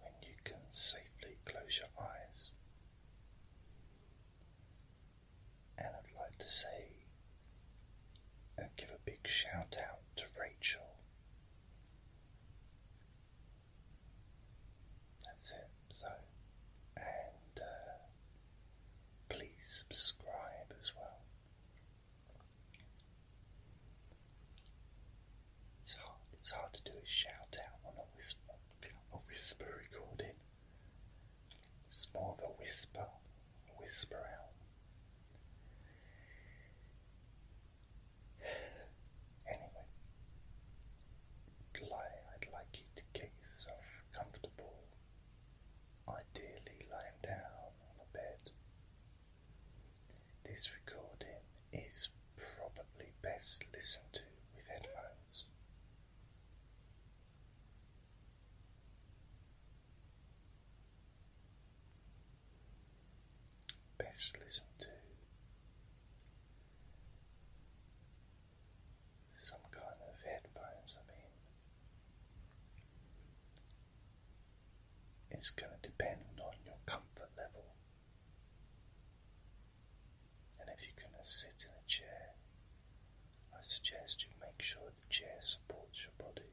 when you can safely close your eyes. And I'd like to say and uh, give a big shout out to Rachel. That's it. So, and uh, please subscribe as well. It's hard, it's hard to do a shout out on a whisper, a whisper recording. It's more of a whisper, whisper out. Anyway, I'd like you to get yourself comfortable, ideally lying down on a bed. This recording is probably best listened to with headphones. Best listen to some kind of headphones. I mean, it's going to depend on your comfort level and if you're going to sit in a chair, I suggest you make sure the chair supports your body.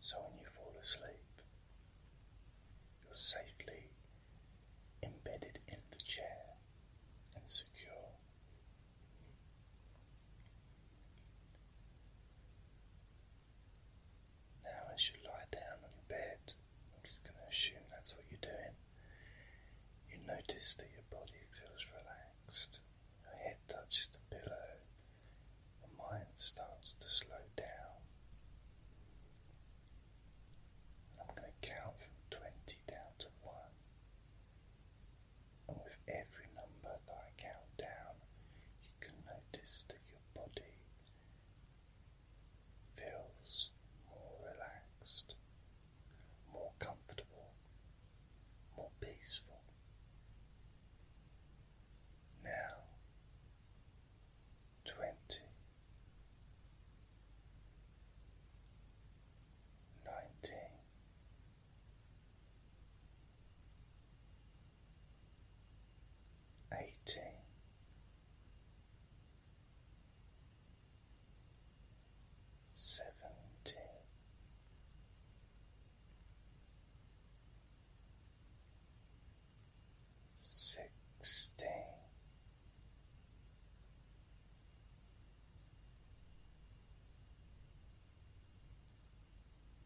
So when you fall asleep, you're safely embedded in the chair and secure. Now, as you lie down on your bed, I'm just going to assume that's what you're doing. You notice that your body feels relaxed, your head touches the pillow, your mind starts to slow down. I'm going to count from 20 down to 1. And with every number that I count down, you can notice that your body feels more relaxed, more comfortable, more peaceful. Now, twenty, nineteen eighteen. Seventeen, sixteen,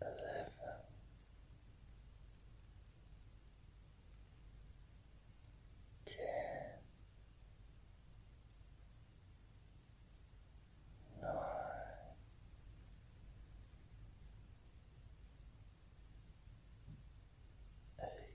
eleven. nine, eight,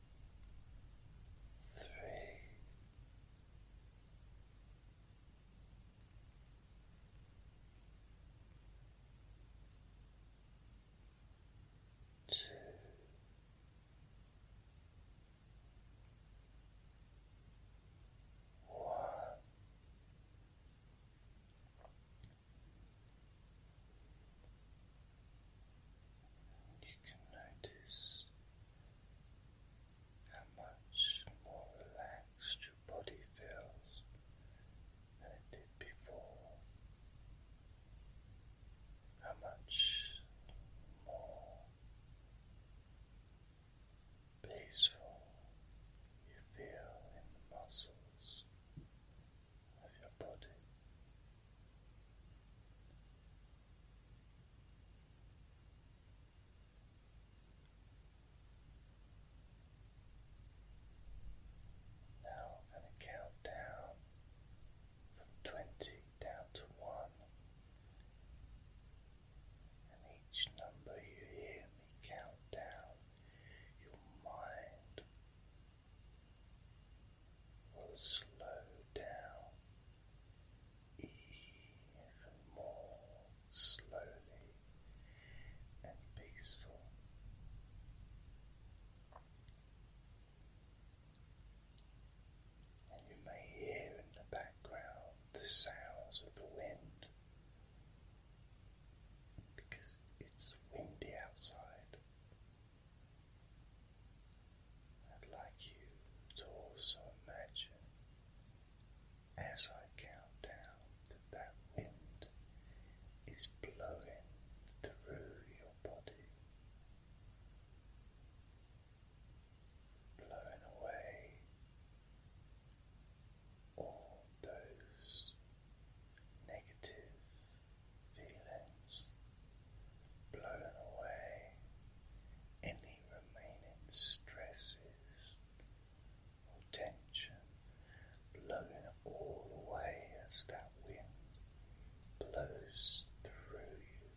three. you can notice how much more relaxed your body feels than it did before, how much more peaceful you feel in the muscles of your body. Now I'm going to count down from twenty down to one, and each number you hear me count down, your mind will slow down even more slowly and peaceful. And you may hear in the background the sounds of the wind because it's windy outside. I'd like you to also imagine as I count down that wind is blowing through your body, blowing away all those negative feelings blown away any remaining stresses or tension, blowing it all away as that wind blows through you.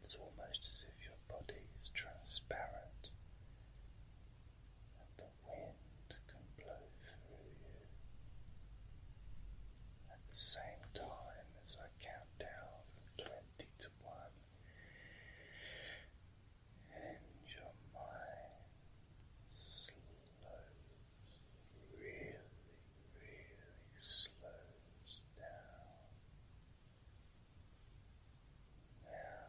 It's almost as if your body is transparent and the wind can blow through you at the same time as I count down from 20 to 1. And your mind slows, really, really slows down. Now,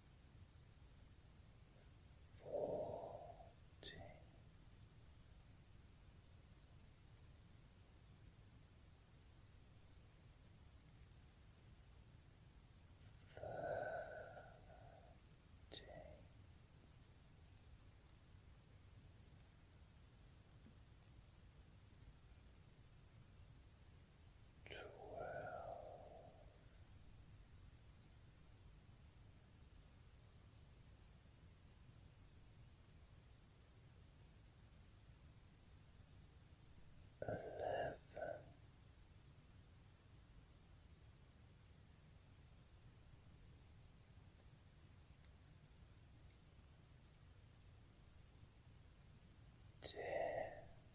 fourteen. Thirteen eleven. Ten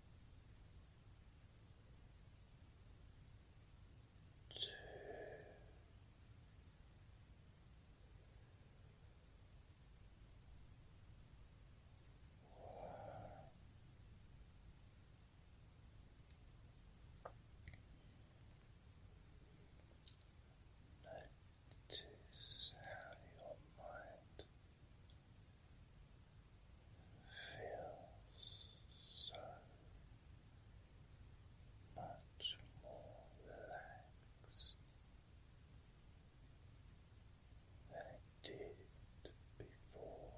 two, one. Notice how your mind feels so much more relaxed than it did before.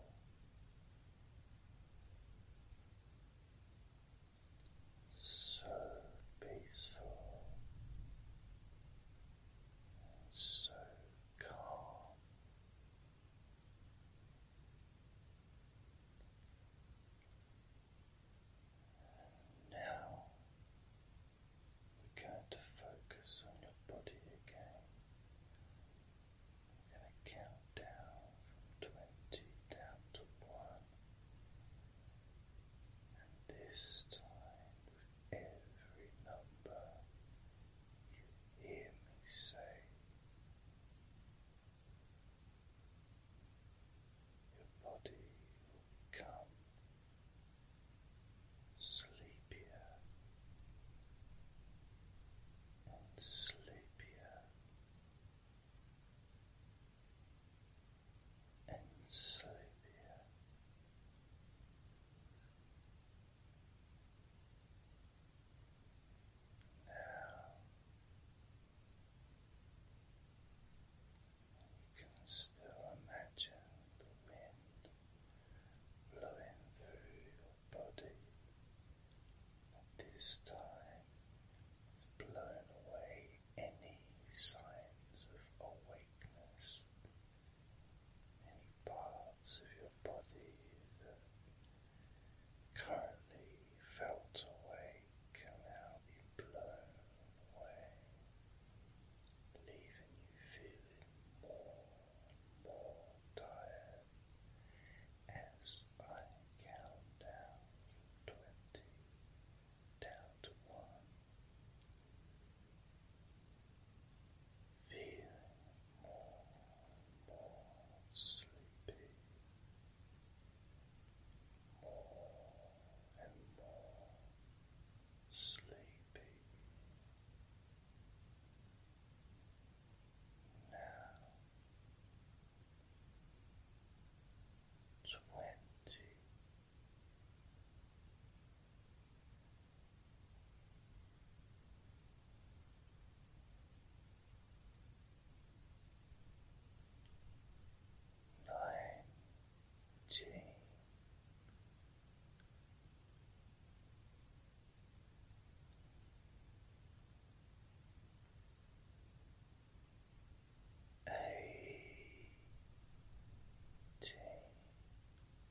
So peaceful so calm. And now we're going to focus on your body again. We're going to count down from 20 down to 1. And this time every number you hear me say. Your body will become sleepier and sleepier and sleepier and you can still imagine the wind blowing through your body, this time it's blown away any signs of awakeness any parts of your body that currently felt awake can now be blown away, leaving you feeling more and more tired as I count down twenty down to one. Feeling more and more sleepy, more and more sleepy. Now twenty Nineteen. Eighteen.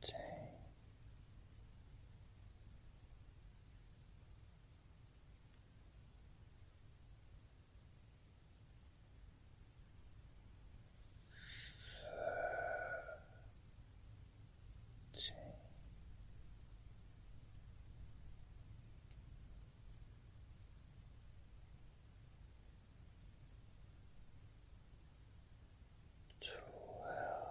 fourteen. Thirteen twelve. Eleven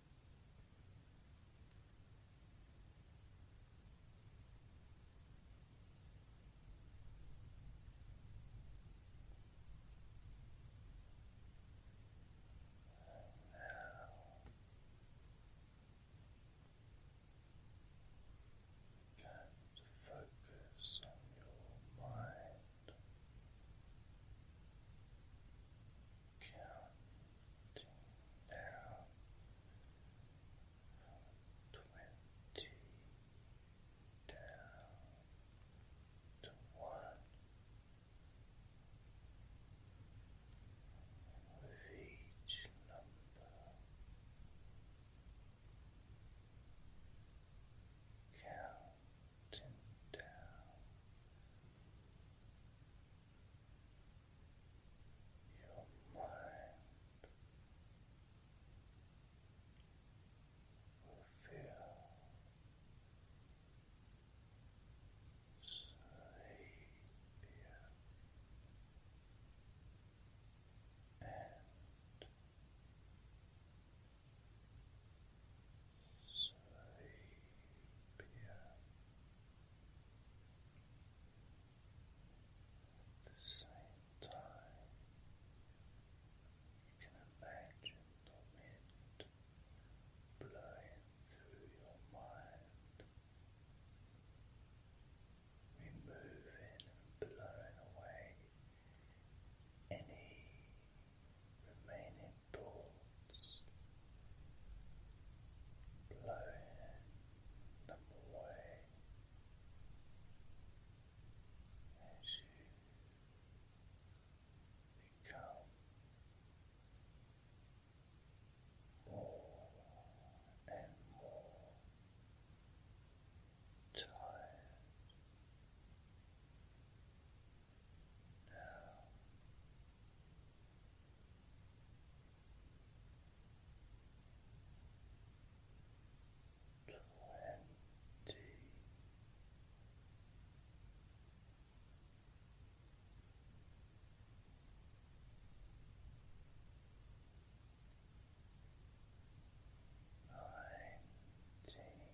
Begin to focus on your mind. Count now twenty down to with each number counting down your mind will feel sleepier and Sleepy. But at the same time, you can imagine the wind blowing through your mind. Removing and blowing away any remaining thoughts, blowing away as you become more and more tired. Now twenty nineteen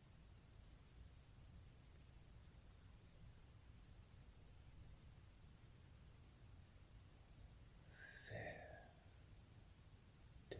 Fair day.